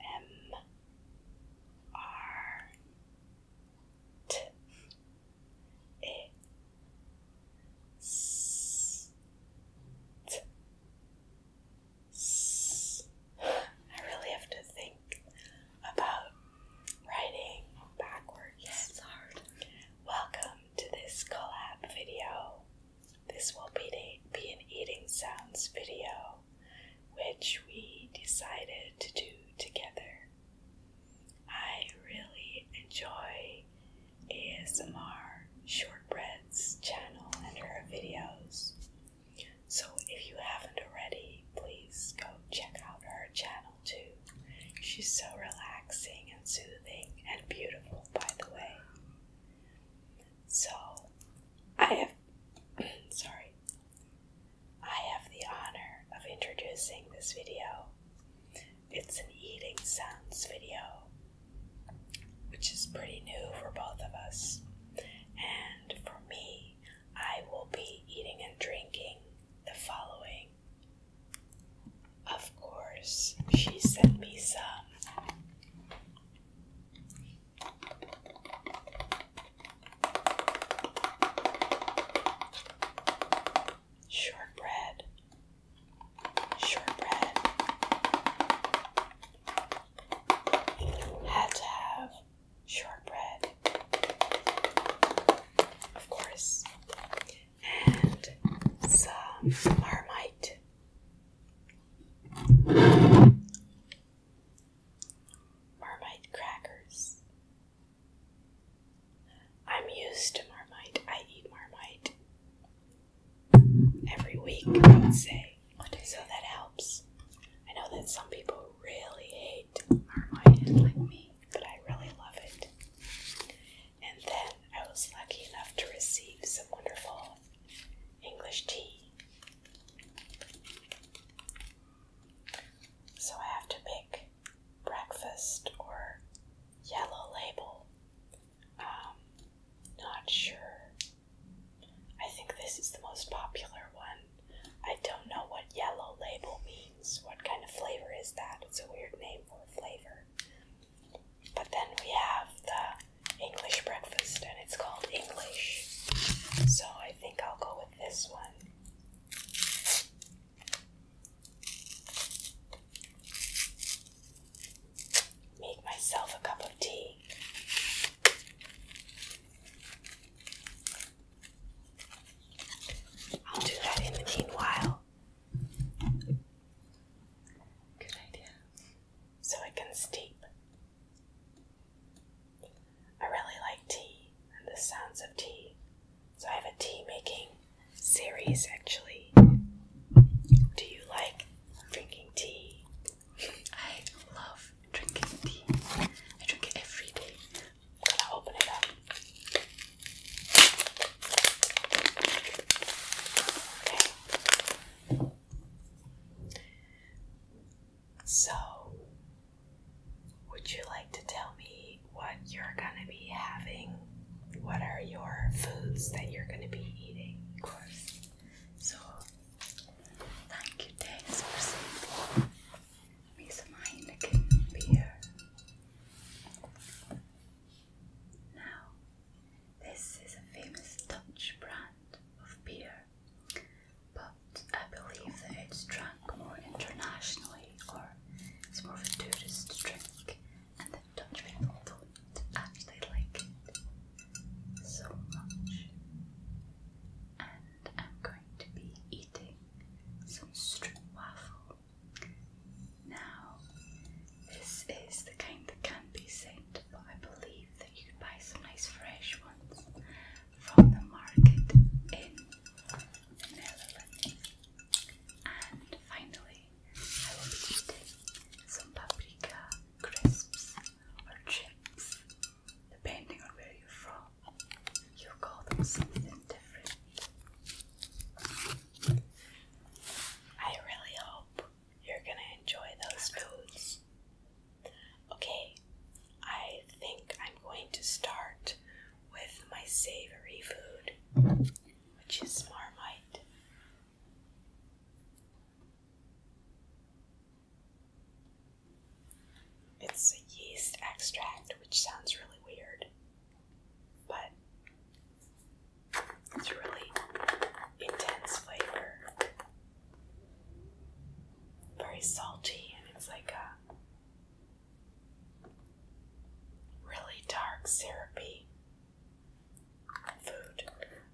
M R T E S T S. I really have to think about writing backwards. Yes, it's hard. Welcome to this collab video. This will be, be an eating sounds video which we decided to do together. I really enjoy ASMR Shortbread's channel and her videos. So if you haven't already, please go check out her channel too. She's so relaxing and soothing and beautiful, by the way. So I have sorry. I have the honor of introducing this video. It's an eating sounds video, which is pretty new for both of us. And for me, I will be eating and drinking the following. Of course, she sent me some Shortbread. Shortbread. Had to have shortbread. Of course. And some marmite. Marmite crackers. I'm used to Marmite. I eat Marmite every week, I would say. So that helps. I know that some people really hate Marmite, like me, but I really love it. And then I was lucky enough to receive some wonderful English tea so I have to pick breakfast or yellow label. Um, not sure. I think this is the most popular one. I don't know what yellow label means. What kind of flavor is that? It's a weird name for a flavor. But then we have the English breakfast, and it's called English. So I think I'll go with this one. Make myself a cup of tea. I'll do that in the meanwhile. Good idea. So it can steep. I really like tea and the sounds of tea, so I have a tea making series actually. Do you like drinking tea? I love drinking tea. I drink it every day. I'm gonna open it up. Okay. So, would you like to tell me what you're going to be having? What are your foods that you're going to be eating? Of course. So, thank you, Dennis, for saving me some Heineken beer. Now, this is a famous Dutch brand of beer but I believe that it's drunk more internationally or it's more of a tourist drink and the Dutch people don't actually like it so much. And I'm going to be eating some strip waffle. Now, this is the kind that can be sent, but I believe you could buy some nice fresh ones from the market in the And finally, I will be eating some paprika crisps or chips, depending on where you're from. you call them something different. I really hope you're gonna enjoy those foods. Okay, I think I'm going to start with my savory food, which is marmite. It's a yeast extract, which sounds really weird, but it's really intense flavor very salty, and it's like a really dark, syrupy food.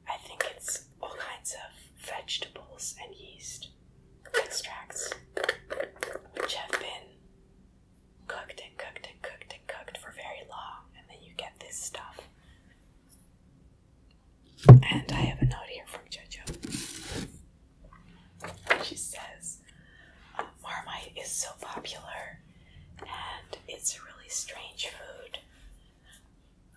I think it's all kinds of vegetables and yeast extracts, which have been cooked and cooked and cooked and cooked for very long, and then you get this stuff and I have a note here from JoJo. She says, um, Marmite is so popular and it's a really strange food.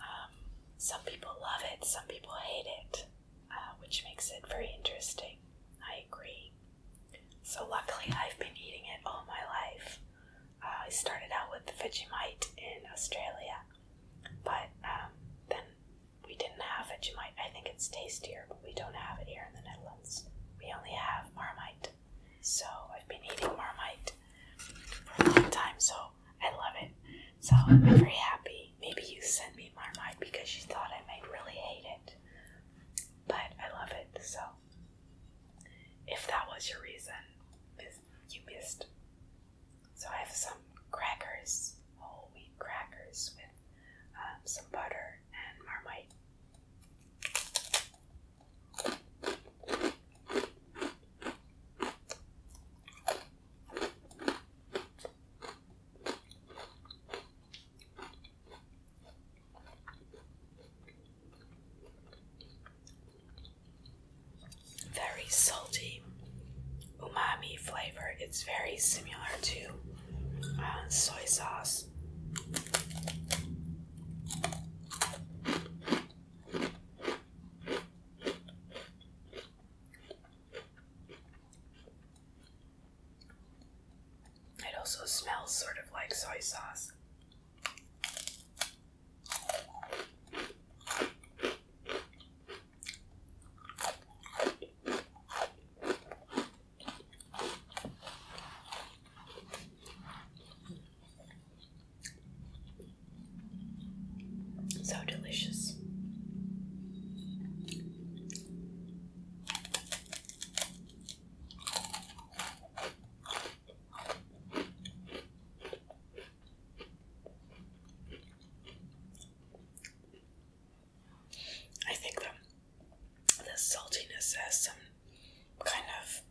Um, some people love it, some people hate it, uh, which makes it very interesting. I agree. So, luckily, I've been eating it all my life. Uh, I started out with the Vegemite in Australia, but um, then we didn't have Vegemite. I think it's tastier, but we don't have it here in the Netherlands. We only have Marmite. So I've been eating Marmite for a long time, so I love it. So I'm very happy. Maybe you sent me Marmite because you thought I might really hate it. But I love it, so if that was your reason, you missed so I have some crackers, whole wheat crackers with um, some butter and marmite very salty umami flavor. It's very similar to uh, soy sauce. It also smells sort of like soy sauce. So delicious. I think the, the saltiness has some kind of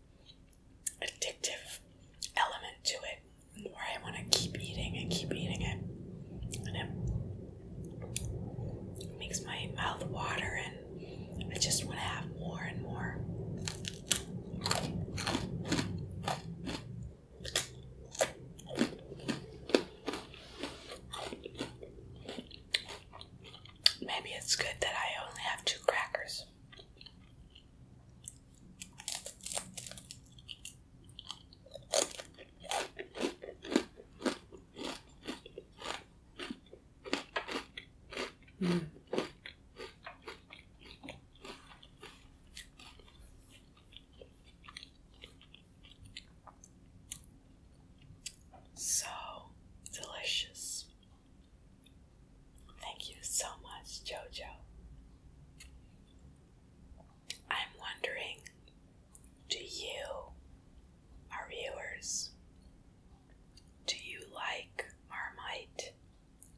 addictive element to it where I want to keep eating and keep eating it. And it makes my mouth water and I just want to have more and more. Maybe it's good that I only have two crackers. Mm. So delicious. Thank you so much, Jojo. I'm wondering do you, our viewers, do you like Marmite?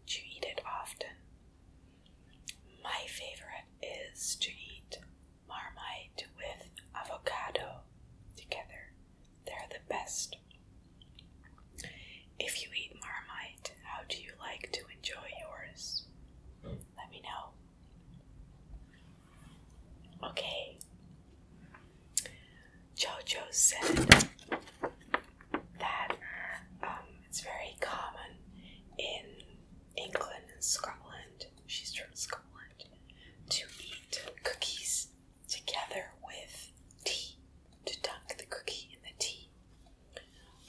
Do you eat it often? My favorite is to eat marmite with avocado together. They're the best. If you eat marmite, how do you like to enjoy yours? Let me know. Okay. Jojo said that um, it's very common in England and Scotland, she's from Scotland, to eat cookies together with tea, to dunk the cookie in the tea.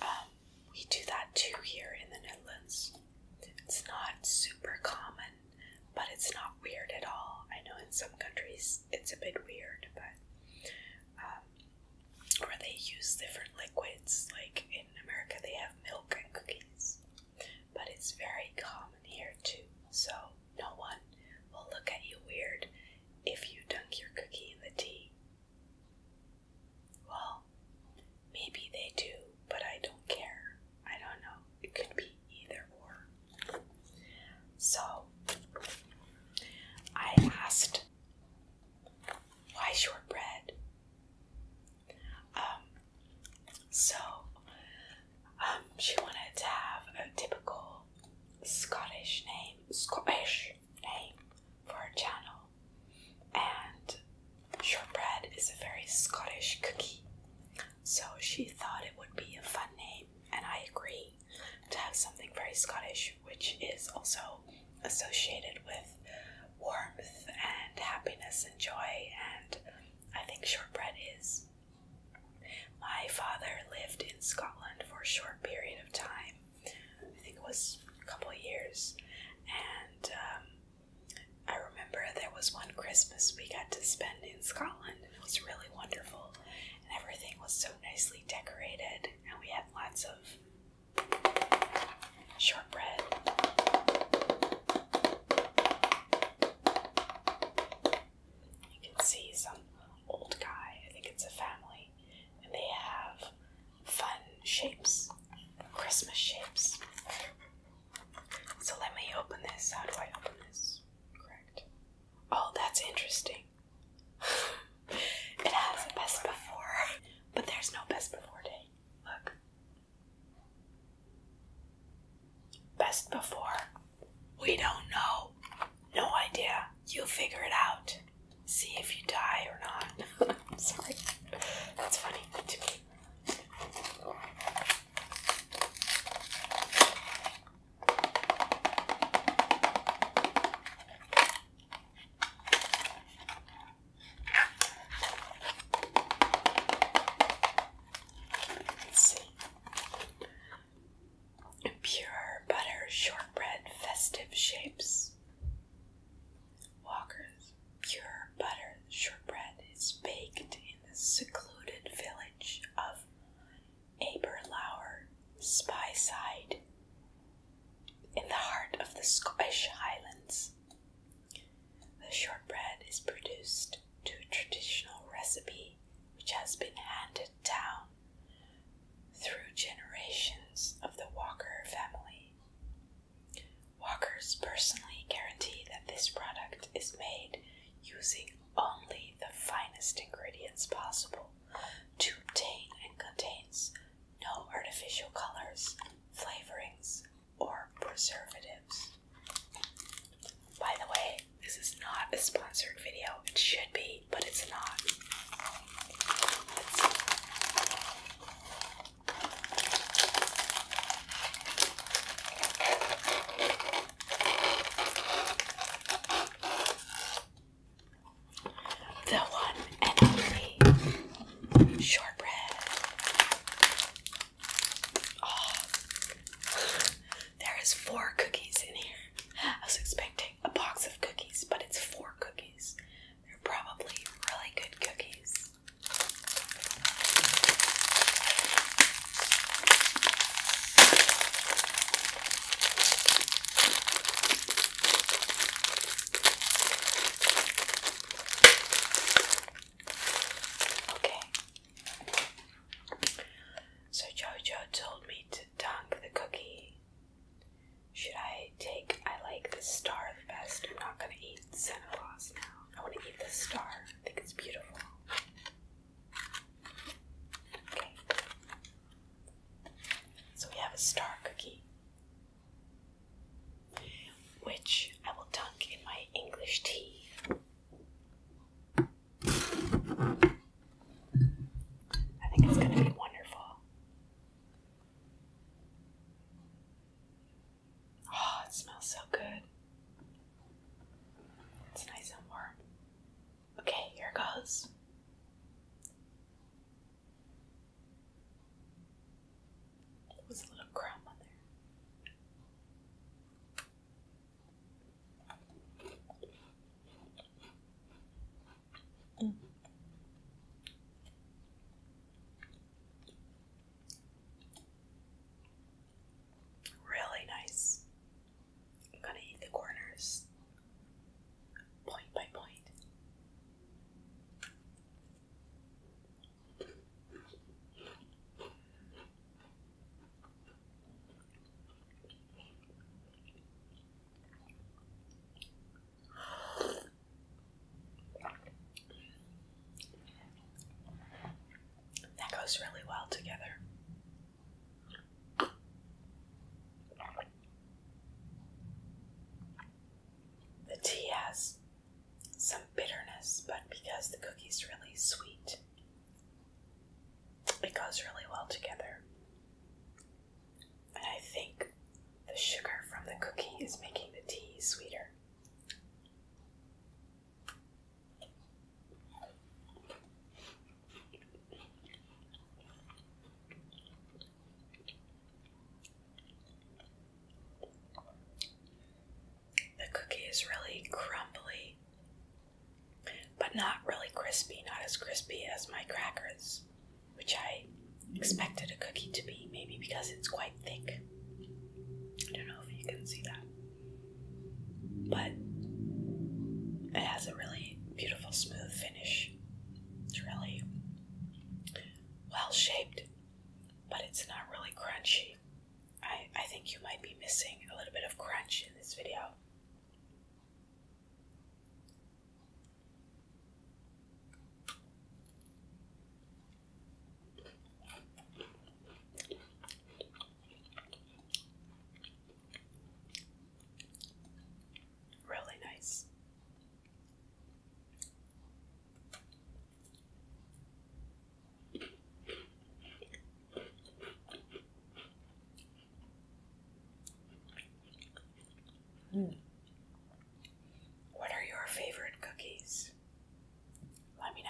Um, we do that too here in the Netherlands. It's not super common, but it's not weird at all. I know in some countries it's a bit weird, but uh, um, they use different liquids. Like in America, they have milk and cookies, but it's very common here too. So no one will look at you weird if you dunk your cookie in the tea. Well, maybe they do, but I don't care. I don't know. It could be either or. So, I asked why shortbread? Um, so, um, she wanted to have a typical Scottish name, Scottish name for her channel, and shortbread is a very Scottish cookie. So she thought it would be a fun name, and I agree to have something very Scottish, which is also associated with warmth and happiness and joy. And I think shortbread is. My father lived in Scotland for a short period of time. I think it was a couple of years. And um, I remember there was one Christmas we got to spend in Scotland, it was really wonderful. And everything was so nicely decorated, and we have lots of shortbread. You can see some old guy, I think it's a family, and they have fun shapes, Christmas shapes. So let me open this. How do I open this? Correct. Oh, that's interesting. it has a best before, but there's no best before day. Look. Best before. We don't know. No idea. You figure it out. See if you die or not. I'm sorry. That's funny to Pure butter shortbread festive shapes. Walker's pure butter shortbread is baked in the secluded village of Aberlour, Spyside, in the heart of the Scottish Highlands. The shortbread is produced to a traditional recipe which has been handed down through generations of the Walker family. Walkers personally guarantee that this product is made using only the finest ingredients possible to obtain and contains no artificial colors, flavorings, or preservatives. By the way, this is not a sponsored video. It should be, but it's not the one and only shortbread. Oh, there is four cookies in here. I was expecting a box of cookies, but it's four cookies. They're probably really good cookies. Okay. So Jojo told me to dunk the cookie. Should I take I like the star the best? I'm not gonna eat Santa Claus now. I wanna eat the star. I think it's beautiful. Okay. So we have a star cookie, which I will dunk in my English tea. I think it's going to be wonderful. Oh, it smells so good. It's nice and warm. Okay, here goes. There was a little crumb mm. Really nice. I'm gonna hit the corners point by point. That goes really well together. The tea has some bitterness, but because the cookie's really sweet, it goes really well together. And I think the sugar from the cookie is making the tea sweeter. The cookie is really crumbly, but not really crispy, not as crispy as my crackers, which I expected a cookie to be, maybe because it's quite thick. I don't know if you can see that. But it has a really beautiful, smooth finish. It's really well shaped, but it's not really crunchy. I, I think you might be missing a little bit of crunch in this video. Really nice. Mm. What are your favorite cookies? Let me know.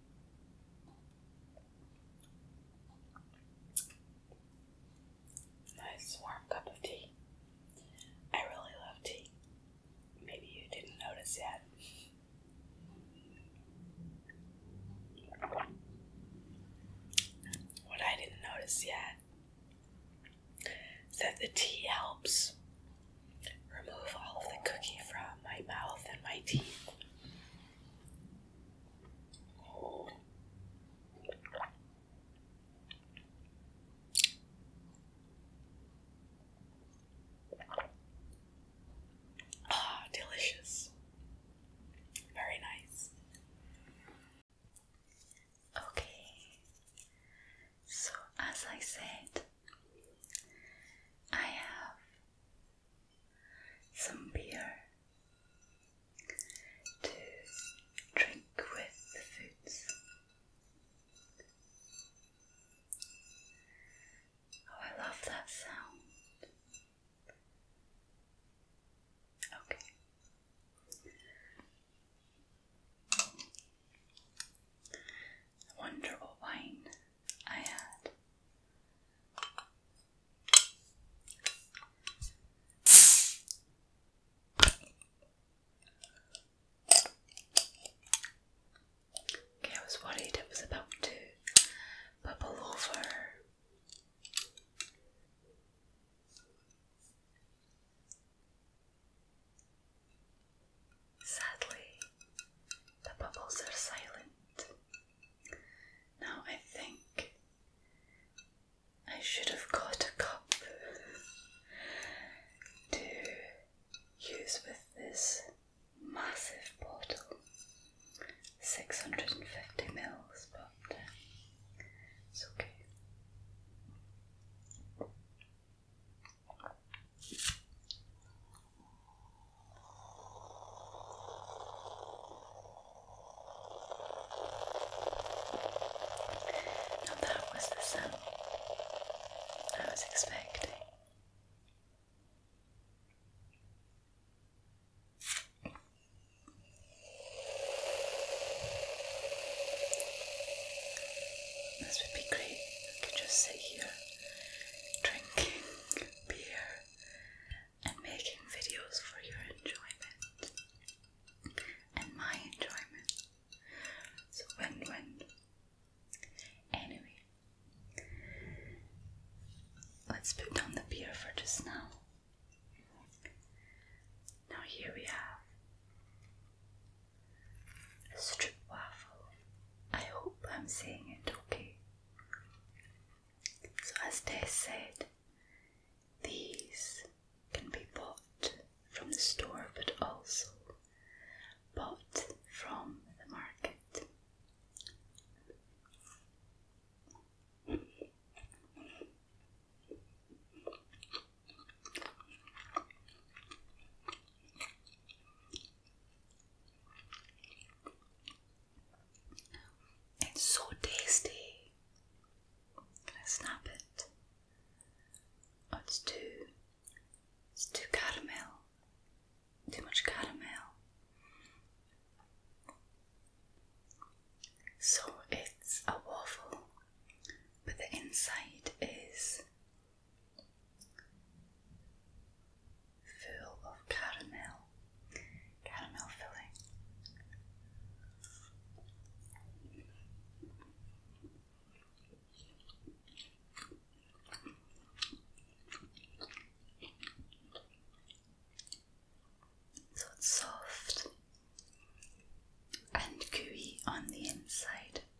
Nice warm cup of tea. I really love tea. Maybe you didn't notice yet. What I didn't notice yet is that the tea helps Remove all of the cookie from my mouth and my teeth. Ah, delicious. Very nice. Okay, so as I said, I have some beer to drink with the foods. Oh, I love that sound. Okay. wonderful wine I Okay, I was worried it was about to bubble over. Sadly, the bubbles are silent. Now I think I should have got a cup to use with this massive bottle. 650 mils, but uh, it's okay that was the sound I was expecting. This would be great. I could just sit here drinking beer and making videos for your enjoyment and my enjoyment. So win win. Anyway, let's put down the beer for just now. Now, here we have Strip waffle. I hope I'm saying it okay. So, as Tess said, these can be bought from the store but also bought from the market. It's so tasty. Can I snap it? Oh, it's too. It's too caramel. Too much caramel. So it's a waffle, but the inside is full of caramel, caramel filling. So it's soft and gooey on the inside.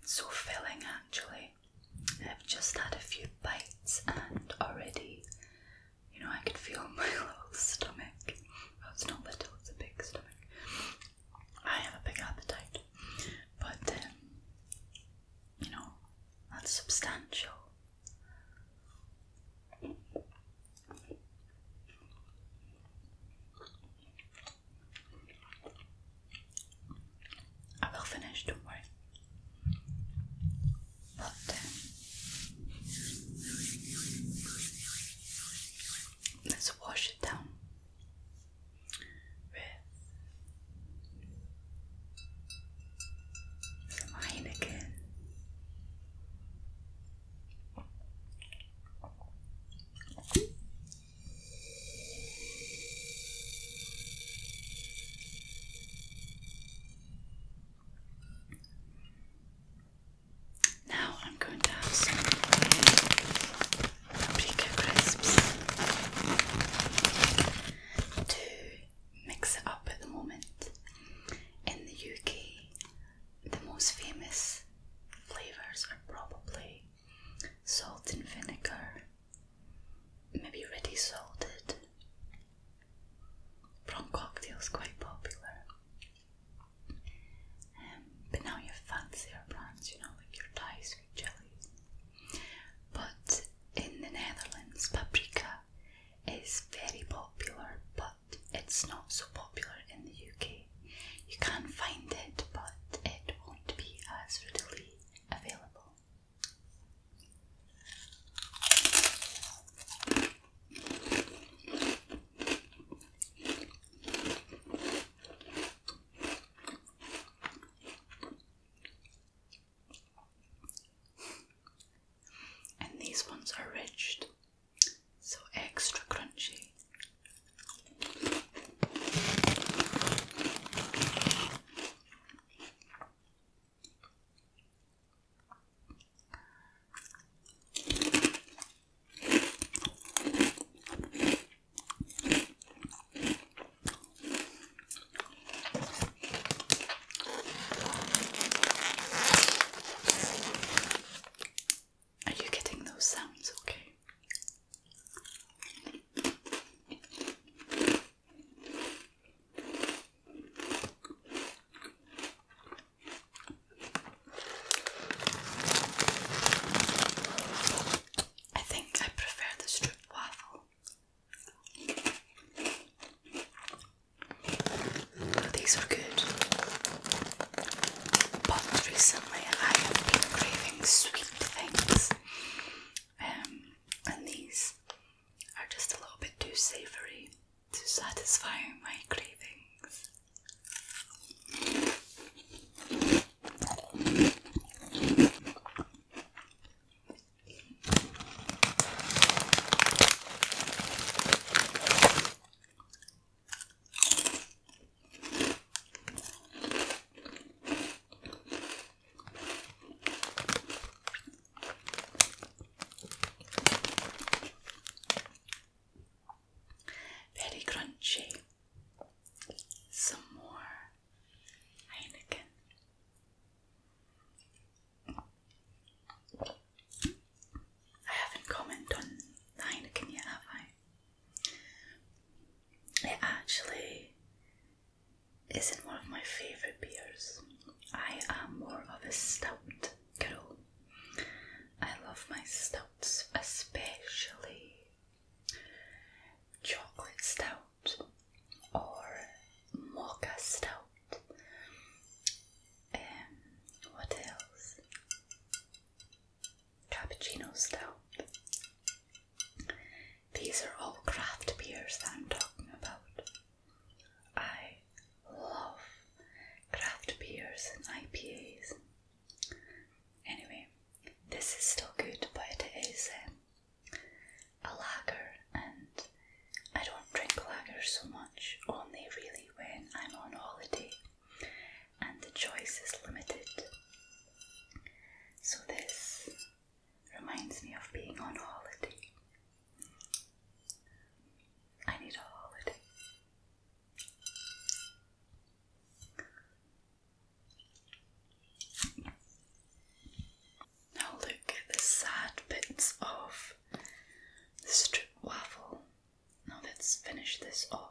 It's so filling actually. I've just had a few bites and already, you know, I can feel my little stomach. Oh, it's not little, it's a big stomach. I have a big appetite, but um, you know, that's substantial. I will finish, don't worry. But, um, let's wash it down with some Heineken. Now I'm going to have some paprika crisps mix it up at the moment. In the UK, the most famous flavours are probably salt and vinegar, maybe ready salted. Prawn cocktail is quite popular. Um, but now you have fancier brands, you know, like your Thai sweet chilies, but in the Netherlands, paprika is very popular, but it's not so popular in the UK. You can find it, but it won't be as readily available and these ones are ridged, so extra crunchy. Are you getting those sounds okay? I think I prefer the strip waffle these are good, but recently I have been craving sweet things, um, and these are just a little bit too savoury to satisfy my cravings. Very crunchy. Some more Heineken. I haven't commented Heineken yet, have I? It actually isn't one of my favourite beers. I am more of a stout girl. I love my stouts, especially chocolate stout or mocha stout. Um, what else? Cappuccino stout. These are all craft beers that I'm talking about. I love craft beers and IPAs. Anyway, this is still good, but it is um, a lager, and I don't drink lagers so much, only really when I'm on holiday and the choice is limited. So, this reminds me of being on holiday. I need a holiday. Now look at the sad bits of the strip waffle. Now let's finish this off.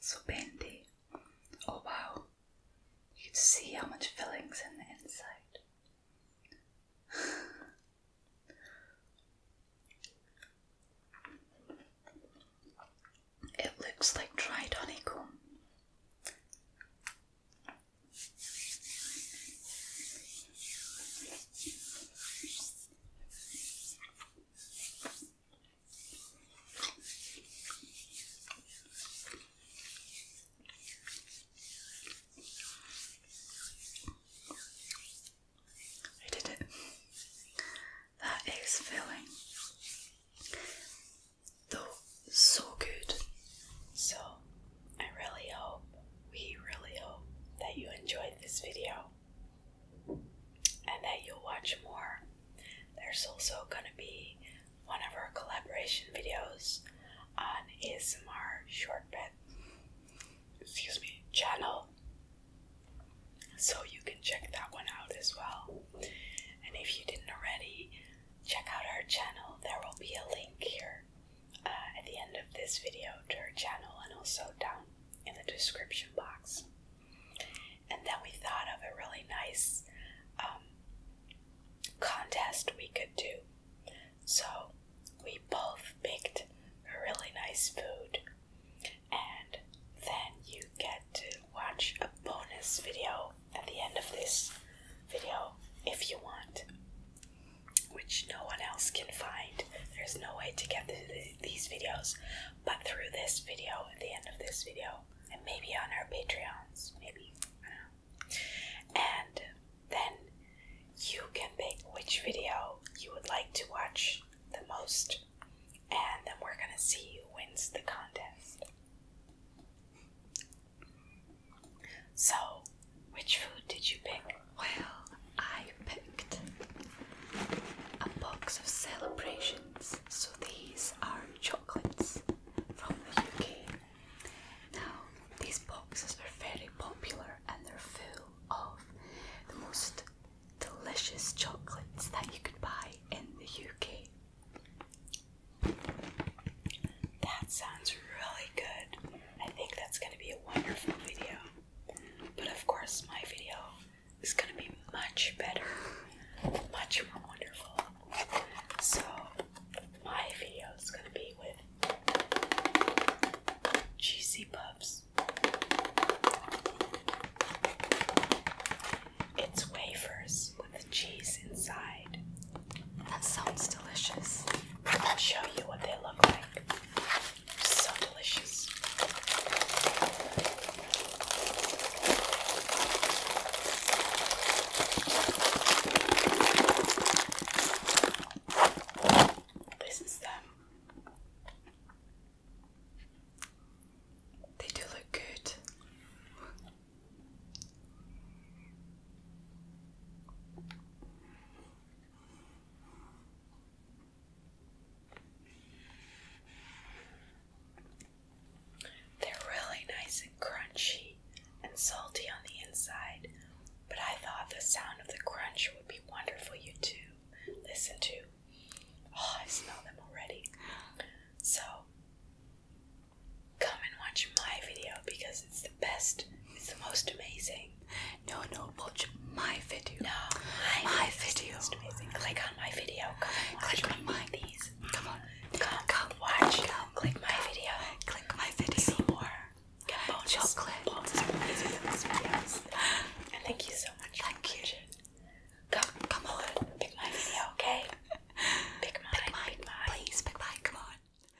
So bendy. Oh wow. You can see how much filling's in the inside. it looks like dried honeycomb. I did it. That is feeling, though so good. So I really hope, we really hope that you enjoyed this video and that you'll watch more. There's also going to be one of our collaboration videos on ASMR Shortbread excuse me channel. So you can check that one out as well. And if you didn't already, check out our channel. There will be a link here uh, at the end of this video to her channel and also down in the description box. And then we thought of a really nice um, contest we could do. So we both picked a really nice food, and then you get to watch a bonus video at the end of this video if you want which no one else can find. There's no way to get the, these videos but through this video, at the end of this video, and maybe on our Patreons, maybe. I don't know. And then you can pick which video you would like to watch the most, and then we're gonna see who wins the contest. So, which food did you pick? Well, I picked a box of celebrations. So, these are chocolates from the UK. Now, these boxes are very popular and they're full of the most delicious chocolates that you could buy in the UK. That sounds really good. I think that's going to be a wonderful video. But of course, my video is going to be much better, much more wonderful. So, my video is going to be with cheesy puffs. It's wafers with cheese inside. That sounds delicious. I'll show you what they look like. So delicious. This is them. They do look good. They're really nice and crunchy and salty on the inside, but I thought the sound of the crunch would be wonderful you too, listen to. Oh, I smell them already. So, come and watch my video because it's the best it's the most amazing. No, no, watch my video. No, my, video. It's amazing. Click on my video. Come click on mine. These. Come on. Come, come, watch. click my video. Click my video. See more. Get bonus. Chocolate. Bonus videos. And thank you so much. Thank you. Come, come on. Pick my video, okay? Pick mine. Pick mine. Please pick mine. Come on.